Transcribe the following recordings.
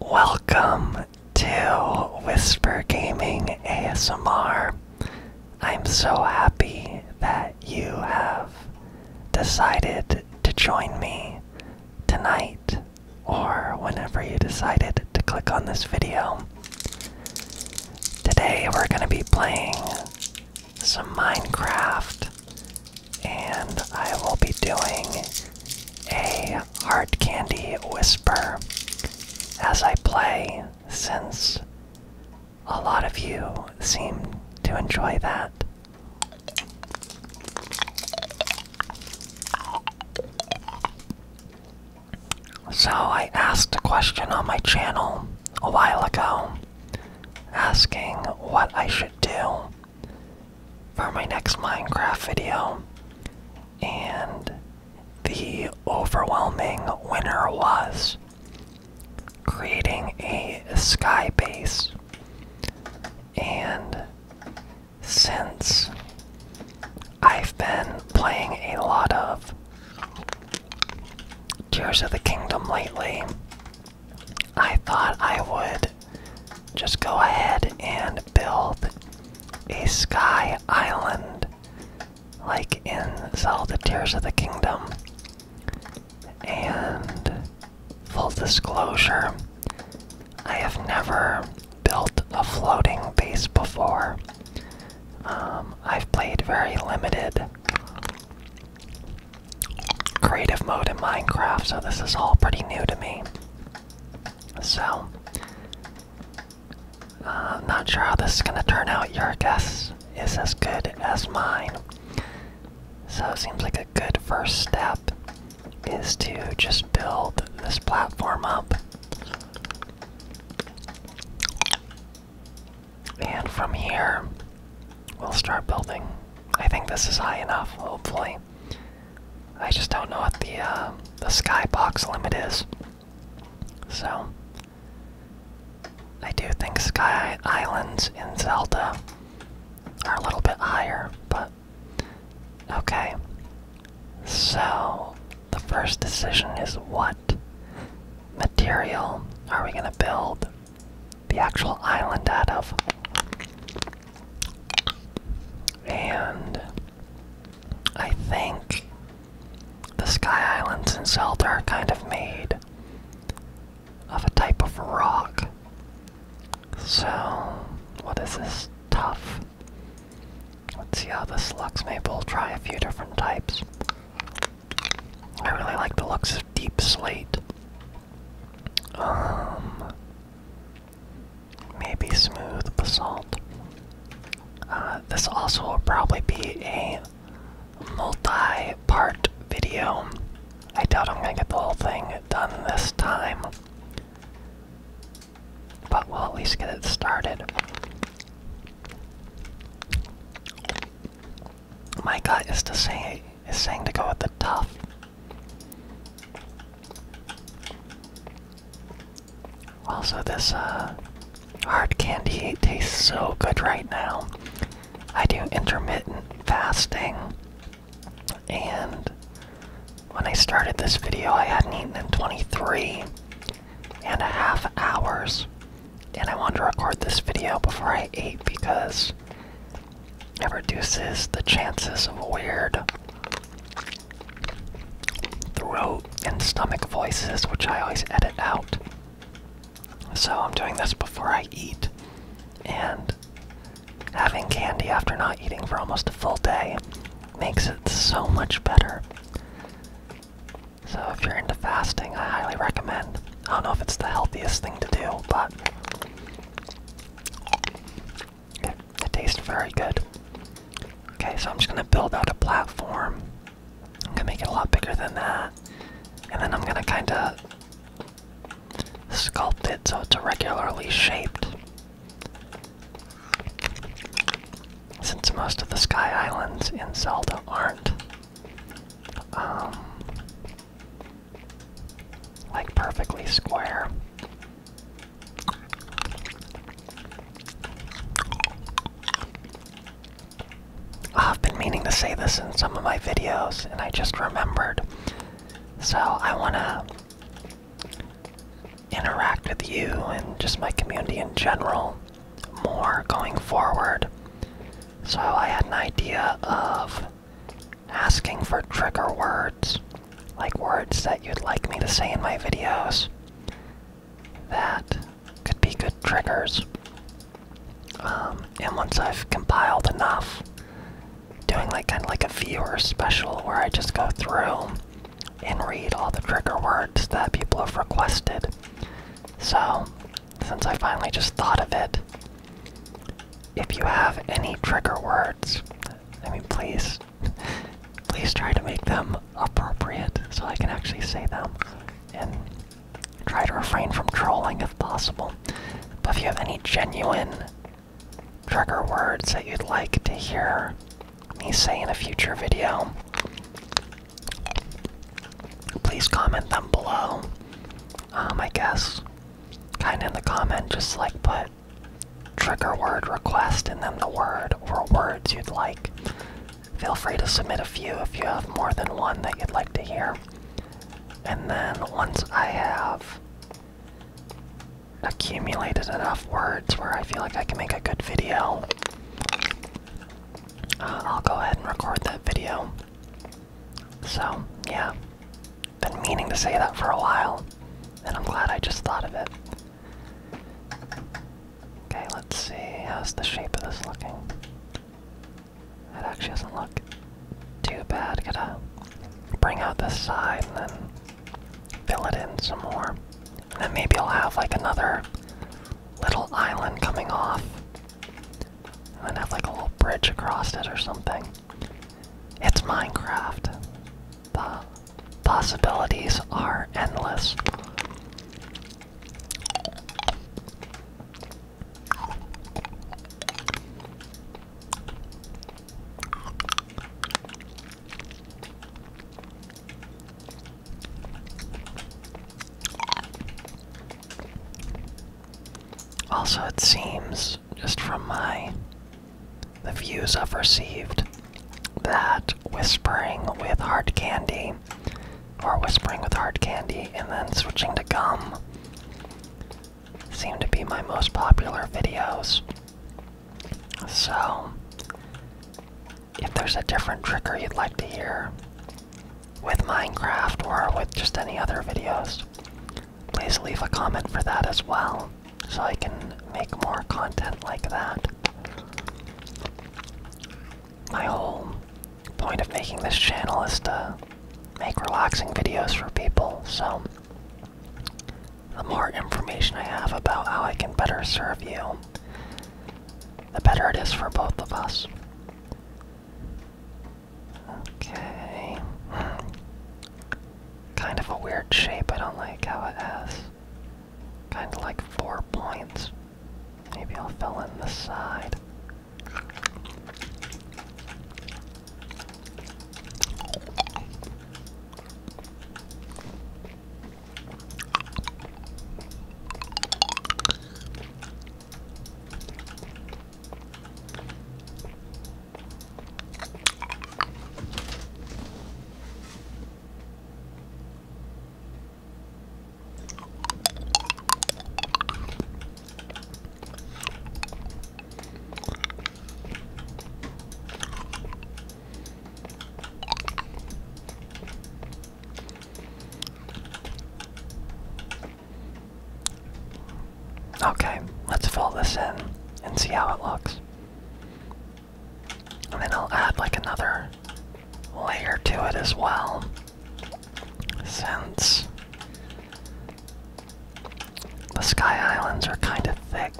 Welcome to Whisper Gaming ASMR. I'm so happy that you have decided to join me tonight or whenever you decided to click on this video. Today we're going to be playing some Minecraft and I will be doing a Heart candy whisper as I play, since a lot of you seem to enjoy that. So, I asked a question on my channel a while ago asking what I should do for my next Minecraft video. And the overwhelming winner was creating a sky base. And since I've been playing a lot of Tears of the Kingdom lately, I thought I would just go ahead and build a sky island like in Zelda Tears of the Kingdom. And full disclosure, I have never built a floating base before. Um, I've played very limited creative mode in Minecraft, so this is all pretty new to me. So, I'm uh, not sure how this is going to turn out. Your guess is as good as mine. So, it seems like a good first step is to just build this platform up. And from here, we'll start building. I think this is high enough, hopefully. I just don't know what the uh, the skybox limit is. So I do think sky islands in Zelda are a little bit higher, but okay. So the first decision is what material are we going to build the actual island out of? And I think the Sky Islands in Zelda are kind of made of a type of rock. So, what is this? Tough. Let's see how this looks. Maybe we'll try a few different types. I really like the looks of deep slate. Um, maybe smooth basalt. Uh, this also will probably be a multi part video. I doubt I'm gonna get the whole thing done this time, but we'll at least get it started. My gut is to say is saying to go with the tough. Also, this uh, hard candy tastes so good right now. I do intermittent fasting, and when I started this video, I hadn't eaten in 23 and a half hours, and I wanted to record this video before I ate because it reduces the chances of weird throat and stomach voices, which I always edit out. So I'm doing this before I eat, and having candy after not eating for almost a full day makes it so much better. So if you're into fasting, I highly recommend. I don't know if it's the healthiest thing to do, but it, tastes very good. Okay, so I'm just gonna build out a platform. I'm gonna make it a lot bigger than that. And then I'm gonna kinda sculpt it so it's irregularly shaped. Since most of the sky islands in Zelda aren't um, like perfectly square. Oh, I've been meaning to say this in some of my videos, and I just remembered. So I want to interact with you and just my community in general more going forward. So I had an idea of asking for trigger words like words that you'd like me to say in my videos that could be good triggers. Um, and once I've compiled enough, doing like kind of like a viewer special where I just go through and read all the trigger words that people have requested. So, since I finally just thought of it, if you have any trigger words, I mean, please Please try to make them appropriate so I can actually say them. And try to refrain from trolling if possible. But if you have any genuine trigger words that you'd like to hear me say in a future video, please comment them below. Um, I guess, kinda in the comment, just like put trigger word request and then the word or words you'd like. Feel free to submit a few if you have more than one that you'd like to hear. And then once I have accumulated enough words where I feel like I can make a good video, uh, I'll go ahead and record that video. So, yeah. Been meaning to say that for a while, and I'm glad I just thought of it. Okay, let's see. How's the shape of this looking? It actually doesn't look too bad. Gotta bring out this side and then fill it in some more. And then maybe I'll have like another little island coming off. And then have like a little bridge across it or something. It's Minecraft. The possibilities are endless. Also, it seems just from my the views I've received that whispering with hard candy or whispering with hard candy and then switching to gum seem to be my most popular videos. So if there's a different trigger you'd like to hear with Minecraft or with just any other videos, please leave a comment for that as well so I can make more content like that. My whole point of making this channel is to make relaxing videos for people, so the more information I have about how I can better serve you, the better it is for both of us. Okay. Kind of a weird shape, I don't like how it has kind of like four points. Maybe I'll fill in the side. Okay, let's fill this in and see how it looks. And then I'll add like another layer to it as well. Since the Sky Islands are kind of thick.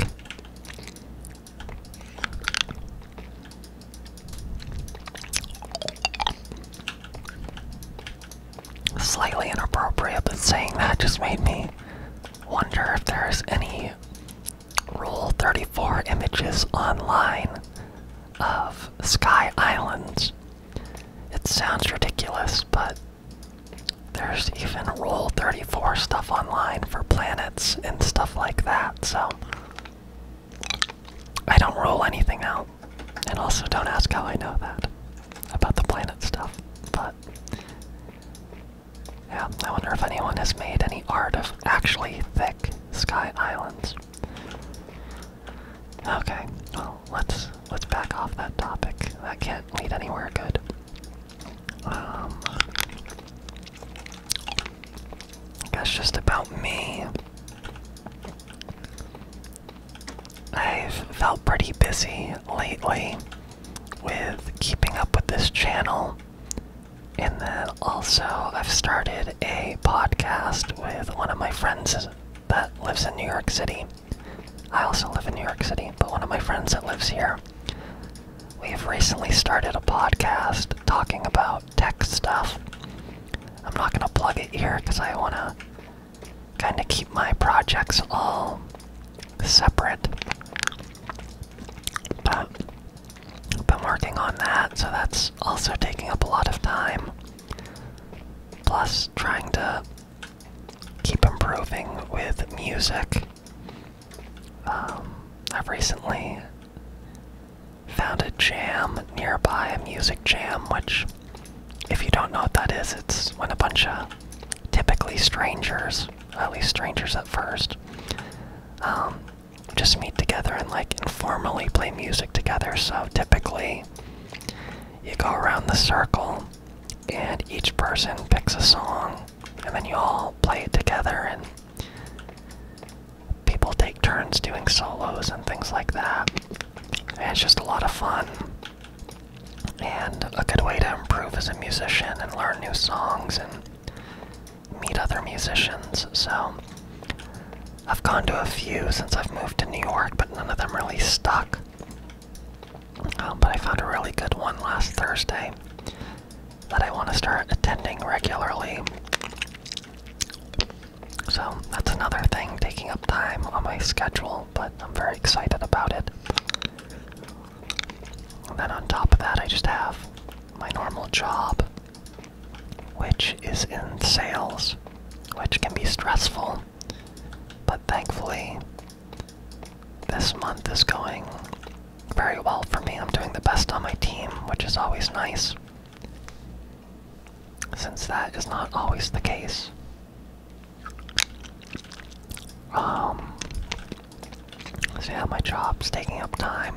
Slightly inappropriate, but saying that just made me Wonder if there's any Rule 34 images online of Sky Islands. It sounds ridiculous, but there's even Rule 34 stuff online for planets and stuff like that, so I don't roll anything out. And also, don't ask how I know that about the planet stuff, but yeah, I wonder if anyone has made any art of actually thick sky islands. Okay, well let's let's back off that topic. That can't lead anywhere good. Um, that's just about me. I've felt pretty busy lately with keeping up with this channel. And then also, I've started a podcast with one of my friends that lives in New York City. I also live in New York City, but one of my friends that lives here. We have recently started a podcast talking about tech stuff. I'm not going to plug it here because I want to kind of keep my projects all separate. But I've been working on that, so that's also taking up a lot of time. Plus, trying to keep improving with music. Um, I've recently found a jam nearby, a music jam, which, if you don't know what that is, it's when a bunch of typically strangers, at least strangers at first, um, just meet together and like informally play music together. So typically, you go around the circle and each person picks a song, and then you all play it together, and people take turns doing solos and things like that. it's just a lot of fun. And a good way to improve as a musician and learn new songs and meet other musicians. So I've gone to a few since I've moved to New York, but none of them really stuck. Um, but I found a really good one last Thursday that I want to start attending regularly. So that's another thing taking up time on my schedule, but I'm very excited about it. And then on top of that, I just have my normal job, which is in sales, which can be stressful. But thankfully, this month is going very well for me. I'm doing the best on my team, which is always nice, since that is not always the case. Um, so yeah, my job's taking up time.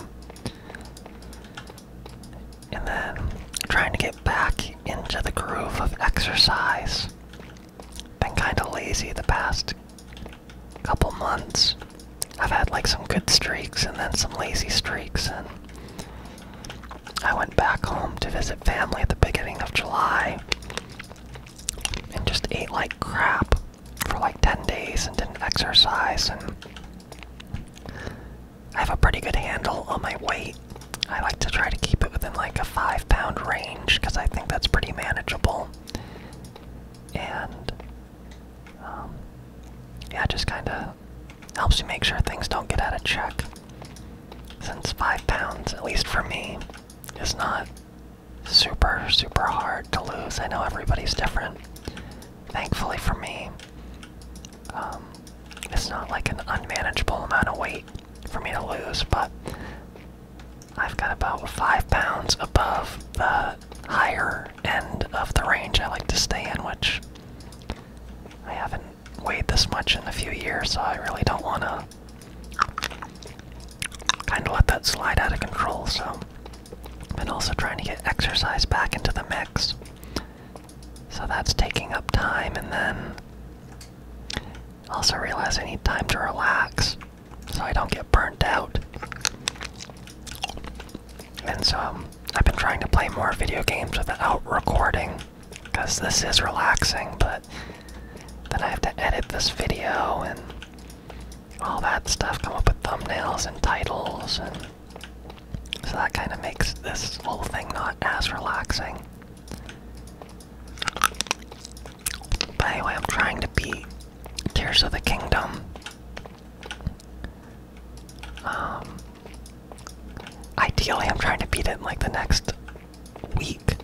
And then trying to get back into the groove of exercise. Been kind of lazy the past couple months. I've had like some good streaks and then some lazy streaks and I went back home to visit family at the beginning of July and just ate like crap for like 10 days and didn't exercise and I have a pretty good handle on my weight. I like to try to keep it within like a 5 pound range because I think that's pretty manageable. And um, yeah, just kind of helps you make sure things don't get out of check. Since 5 pounds, at least for me, is not super, super hard to lose. I know everybody's different. Thankfully for me, um, it's not like an unmanageable amount of weight for me to lose, but I've got about five pounds above the higher end of the range I like to stay in, which I haven't weighed this much in a few years, so I really don't want to kind of let that slide out of control, so been also trying to get exercise back into the mix. So that's taking up time, and then also realize I need time to relax so I don't get burnt out. And so um, I've been trying to play more video games without recording because this is relaxing, but then I have to edit this video and all that stuff, come up with thumbnails and titles, and so that kind of makes this whole thing not as relaxing. By the way, I'm trying to beat Tears of the Kingdom. Um, ideally, I'm trying to beat it like the next week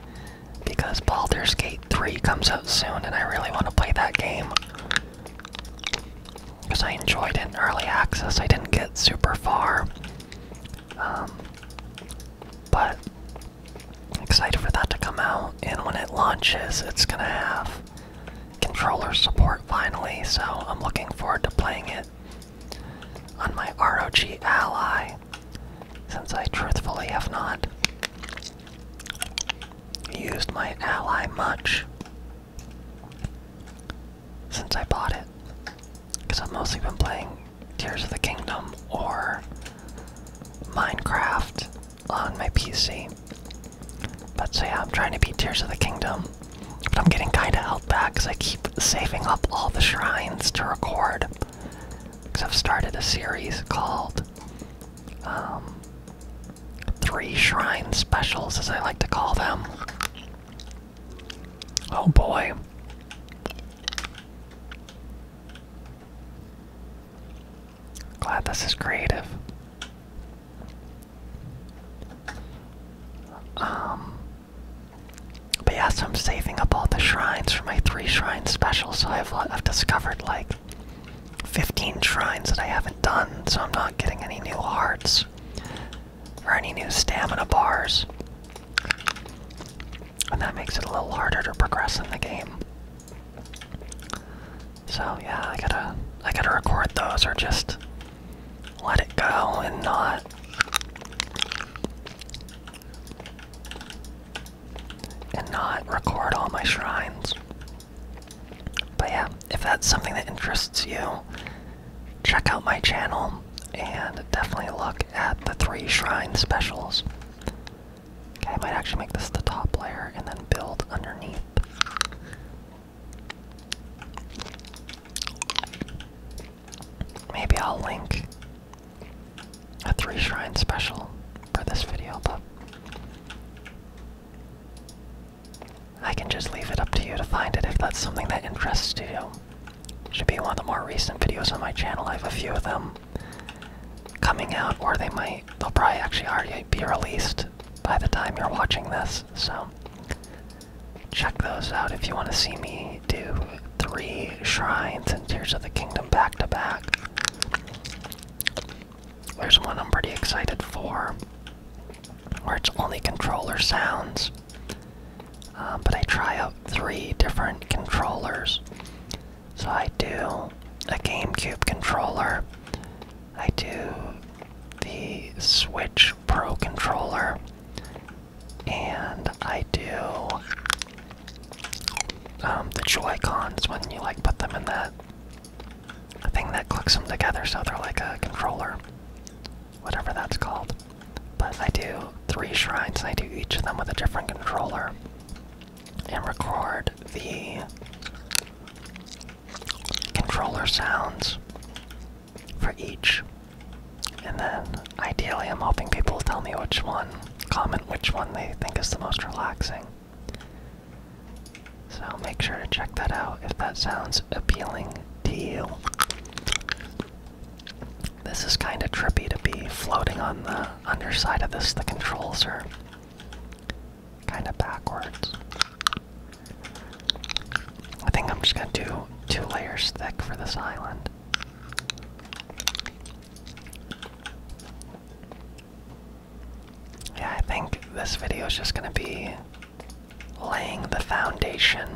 because Baldur's Gate 3 comes out soon and I really want to play that game. Because I enjoyed it in early access, I didn't get super far. Um, but excited for that to come out, and when it launches, it's gonna have controller support finally, so I'm looking forward to playing it on my ROG Ally since I truthfully have not used my ally much since I bought it. Because I've mostly been playing Tears of the Kingdom or Minecraft on my PC. But so yeah, I'm trying to beat Tears of the Kingdom. But I'm getting kinda held back because I keep saving up all the shrines to record. Because I've started a series called um, Three Shrine Specials, as I like to call them. Oh boy. Glad this is creative. Um, but yes, I'm saving up all the shrines for my three shrine special. So I've discovered have like 15 shrines that I haven't done, so I'm not getting any new hearts or any new stamina bars. And that makes it a little harder to progress in the game. So yeah, I gotta I gotta record those or just let it go and not and not record all my shrines. But yeah, if that's something that interests you, check out my channel and definitely look at the three shrine specials. Okay, I might actually make this the top layer and then build underneath. Maybe I'll link a three shrine special for this video, but I can just leave it up to you to find it if that's something that interests you. Should be one of the more recent videos on my channel. I have a few of them coming out, or they might, they'll probably actually already be released by the time you're watching this, so check those out if you want to see me do three shrines and Tears of the Kingdom back to back. There's one I'm pretty excited for, where it's only controller sounds. Uh, but I try out three different controllers. So I do a GameCube controller, I do the Switch Pro controller, and I do um, the joy cons when you like put them in that thing that clicks them together so they're like a controller whatever that's called but i do three shrines and i do each of them with a different controller and record the controller sounds for each and then ideally i'm hoping people will tell me which one comment which one they think is the most relaxing. So make sure to check that out if that sounds appealing to you. This is kind of trippy to be floating on the underside of this. The controls are kind of backwards. I think I'm just gonna do two layers thick for this island. Yeah, I think this video is just going to be laying the foundation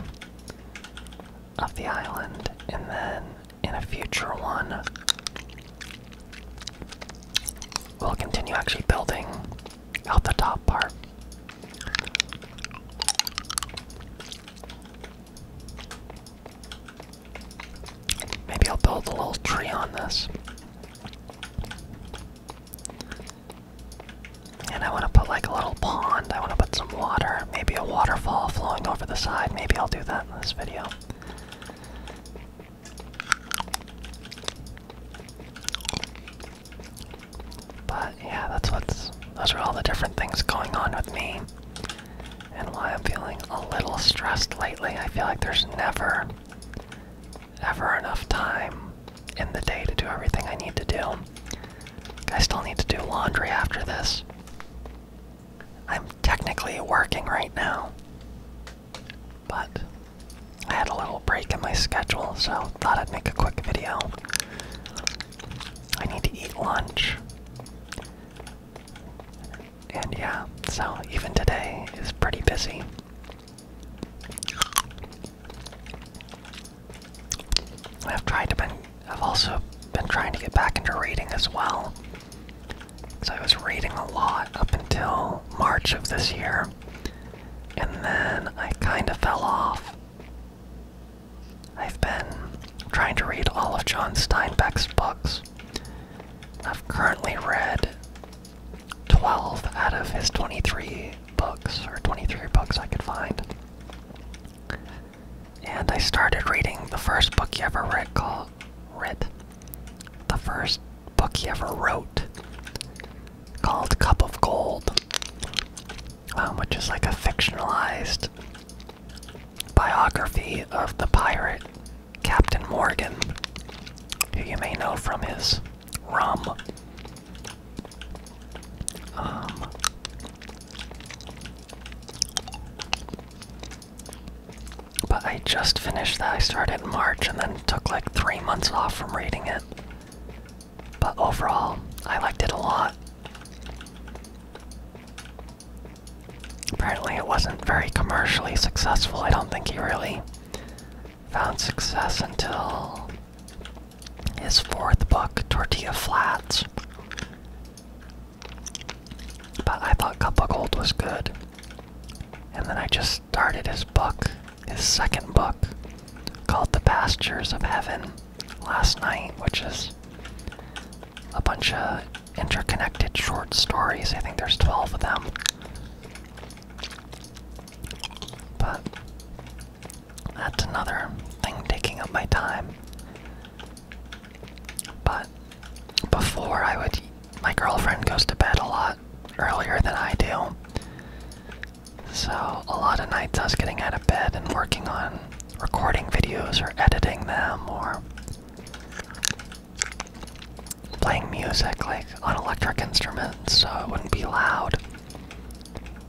of the island, and then in a future one, we'll continue actually building out the top part. Maybe I'll build a little tree on this. And I want to put like a little pond. I want to put some water. Maybe a waterfall flowing over the side. Maybe I'll do that in this video. But yeah, that's what's. Those are all the different things going on with me and while I'm feeling a little stressed lately. I feel like there's never, ever enough time in the day to do everything I need to do. I still need to do laundry after this. I'm technically working right now, but I had a little break in my schedule, so thought I'd make a quick video. I need to eat lunch. And yeah, so even today is pretty busy. I've tried to been I've also been trying to get back into reading as well. So I was reading a lot up until March of this year. And then I kind of fell off. I've been trying to read all of John Steinbeck's books. I've currently read 12 out of his 23 books, or 23 books I could find. And I started reading the first book he ever read called read the first book he ever wrote called Cup of Gold, um, which is like a fictionalized biography of the pirate Captain Morgan, who you may know from his rum. Um, but I just finished that. I started in March and then took like three months off from reading it. But overall, I liked it a lot. Apparently, it wasn't very commercially successful. I don't think he really found success until his fourth book, Tortilla Flats. But I thought Cup of Gold was good. And then I just started his book, his second book, called The Pastures of Heaven, last night, which is a bunch of interconnected short stories. I think there's 12 of them. But that's another thing taking up my time. But before I would, my girlfriend goes to bed a lot earlier than I do. So a lot of nights I was getting out of bed and working on recording videos or editing them or playing music like on electric instruments so it wouldn't be loud.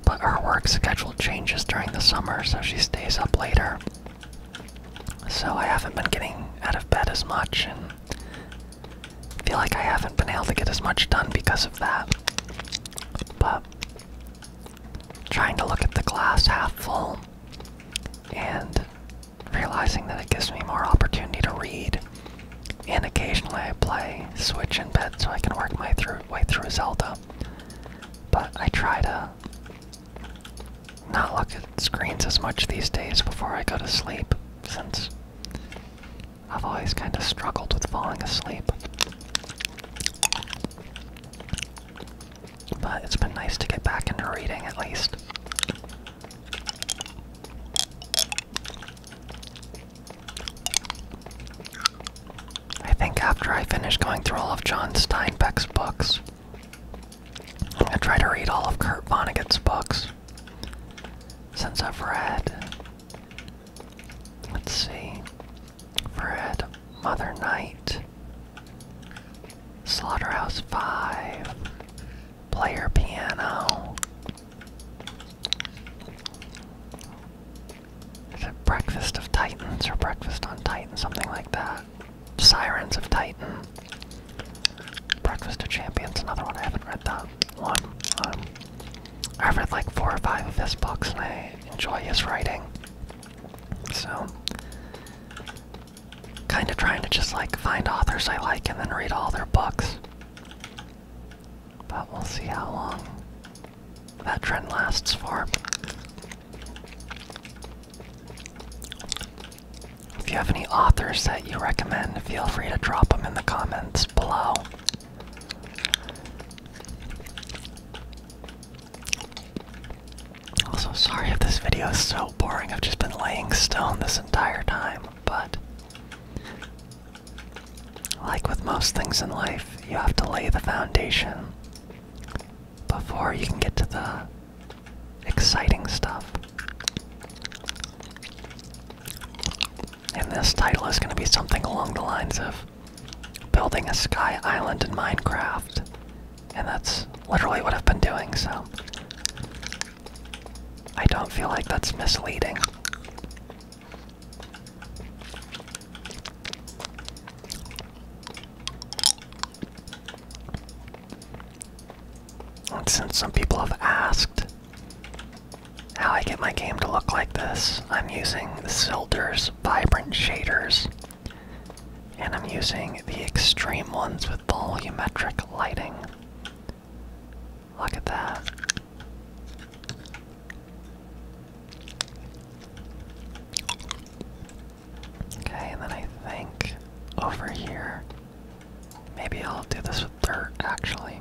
But her work schedule changes during the summer, so she stays up later. So I haven't been getting out of bed as much, and feel like I haven't been able to get as much done because of that. But trying to look at the glass half full and realizing that it gives me more opportunity to read. And occasionally I play Switch in bed so I can work my way through Zelda. But I try to not look at screens as much these days before I go to sleep, since I've always kind of struggled with falling asleep. But it's been nice to get back into reading at least. I think after I finish going through all of John Steinbeck's books, I'm gonna try to read all of Kurt Vonnegut's books. Since I've read, let's see, read Mother Night, Slaughterhouse 5. Player piano. Is it Breakfast of Titans or Breakfast on Titan? Something like that. Sirens of Titan. Breakfast of Champions, another one. I haven't read that one. Um, I've read like four or five of his books and I enjoy his writing. So, kind of trying to just like find authors I like and then read all their books. But we'll see how long that trend lasts for. If you have any authors that you recommend, feel free to drop them in the comments below. Also, sorry if this video is so boring. I've just been laying stone this entire time, but like with most things in life, you have to lay the foundation before you can get to the exciting stuff. And this title is going to be something along the lines of building a sky island in Minecraft and that's literally what I've been doing, so I don't feel like that's misleading. And since some people have asked how I get my game to look like this, I'm using the Silder's Vibrant Shaders. And I'm using the extreme ones with volumetric lighting. Look at that. Okay, and then I think over here, maybe I'll do this with dirt actually.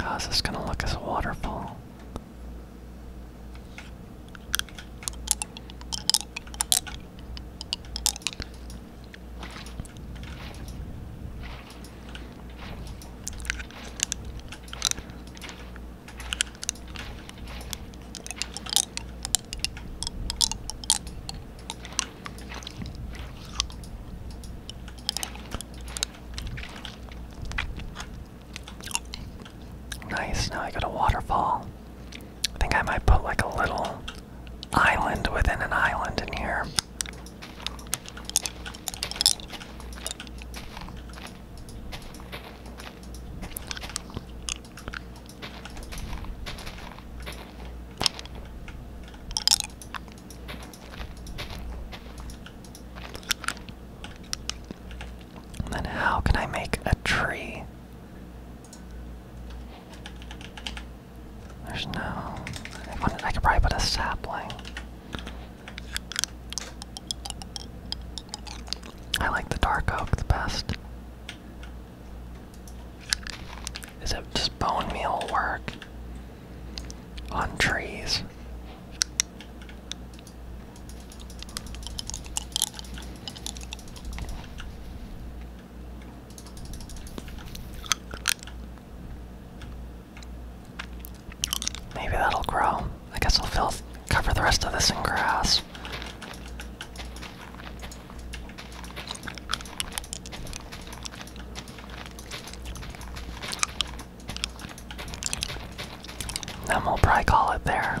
How's this gonna look as a waterfall? Nice, now I got a waterfall. I think I might put like a little island within an island in here. then how can I make a tree? There's no. I, could probably put a sapling. I like the dark oak the best. Is it just bone meal work on trees? Maybe that'll grow. I guess I'll fill cover the rest of this in grass. Then we'll probably call it there.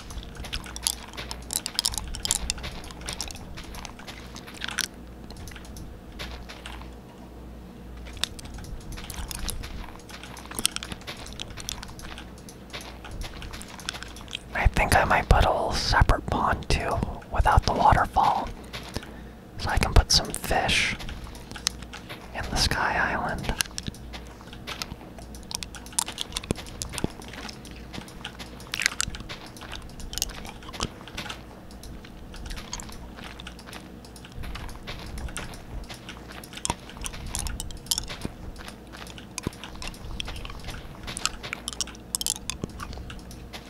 I think I might put a little separate pond too without the waterfall. So I can put some fish in the Sky Island.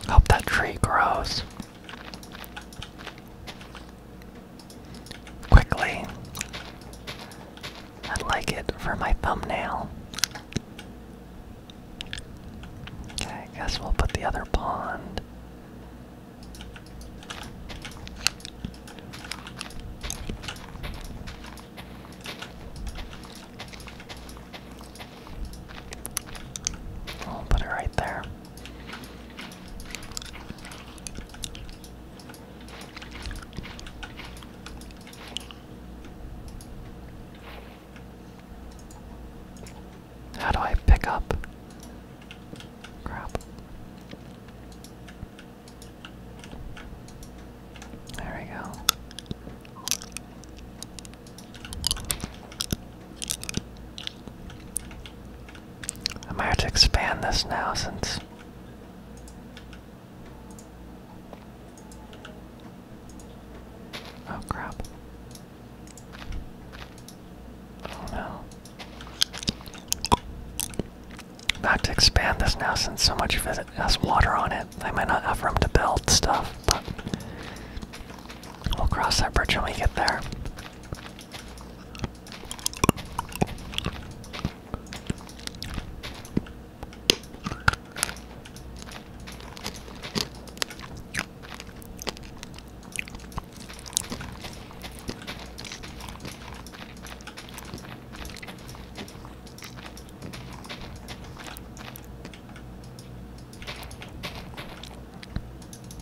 Help that tree grows quickly. I'd like it for my thumbnail. Okay, I guess we'll put the other pond. I'll put it right there. How do I pick up? Crap. There we go. I might have to expand this now since Oh crap. Oh, no. about to expand this now since so much of it has water on it. I might not have room to build stuff, but we'll cross that bridge when we get there.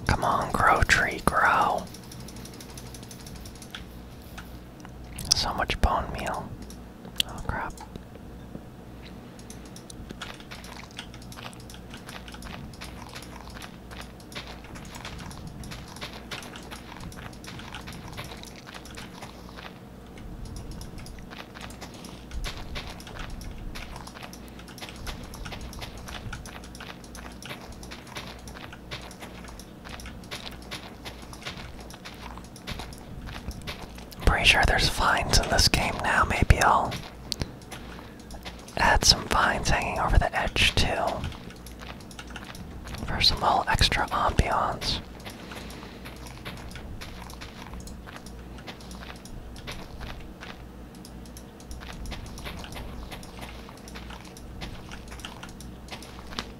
Come on, grow tree, grow. So much bone meal. Oh crap. I'm pretty sure there's vines in this game now. Maybe I'll add some vines hanging over the edge too. For some little extra ambiance.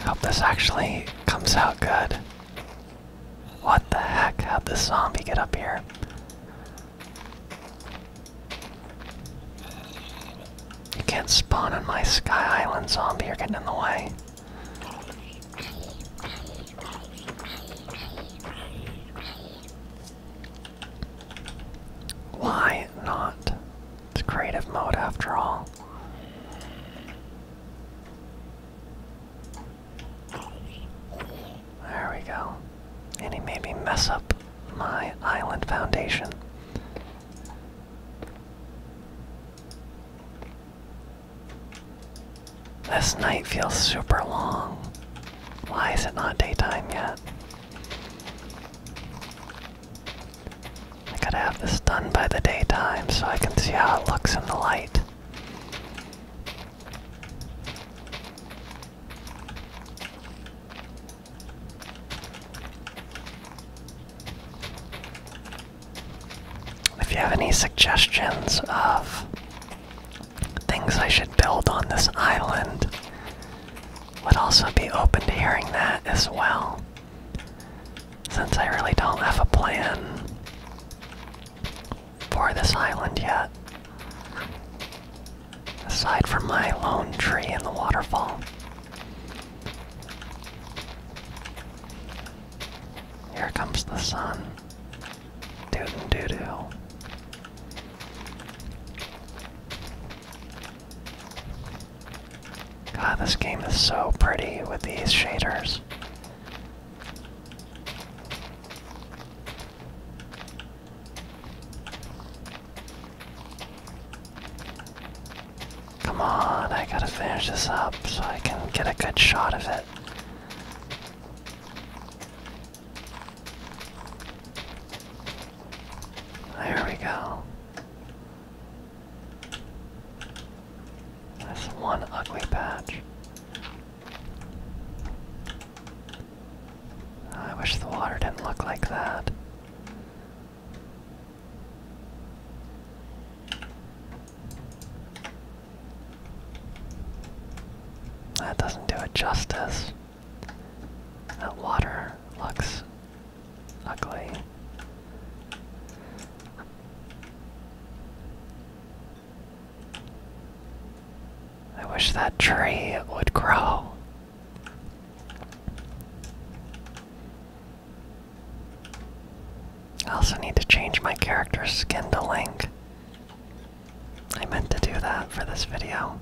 hope this actually comes out good. What the heck? How'd this zombie get up here? You can't spawn on my Sky Island zombie, you're getting in the way. Why not? It's creative mode after all. There we go. And he made me mess up my island foundation. This night feels super long. Why is it not daytime yet? I gotta have this done by the daytime so I can see how it looks in the light. If you have any suggestions of things I should build on this island, would also be open to hearing that as well. Since I really don't have a plan for this island yet. Aside from my lone tree and the waterfall. Here comes the sun. Doot doo doo. God, this game is so pretty with these shaders. Come on, I gotta finish this up so I can get a good shot of it. There we go. That's one ugly patch. I wish the water didn't look like that. That doesn't do it justice. That water looks ugly. I wish that tree would grow. I also need to change my character skin to Link. I meant to do that for this video.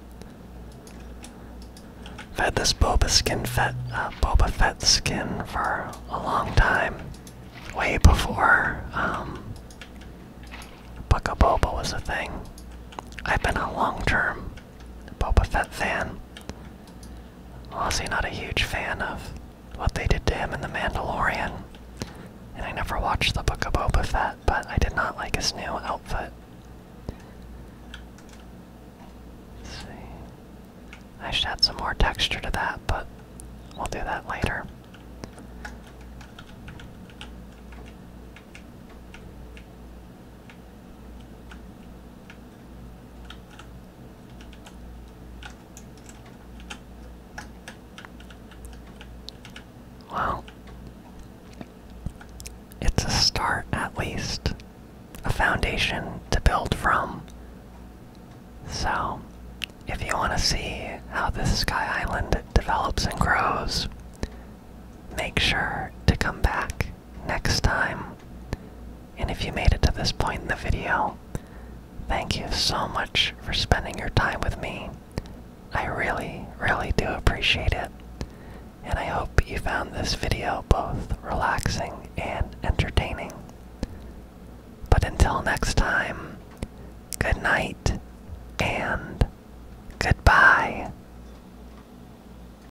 I've had this Boba skin uh, Boba Fett skin for a long time, way before Buka um, Boba was a thing. I've been a long-term Boba Fett fan. Honestly, not a huge fan of what they did to him in The Mandalorian. And I never watched the Book of Boba Fett, but I did not like his new outfit. see. I should add some more texture to that, but we'll do that later. Well, it's a start at least, a foundation to build from. So, if you want to see how this Sky Island develops and grows, make sure to come back next time. And if you made it to this point in the video, thank you so much for spending your time with me. I really, really do appreciate it. And I hope you found this video both relaxing and entertaining. But until next time, good night and goodbye.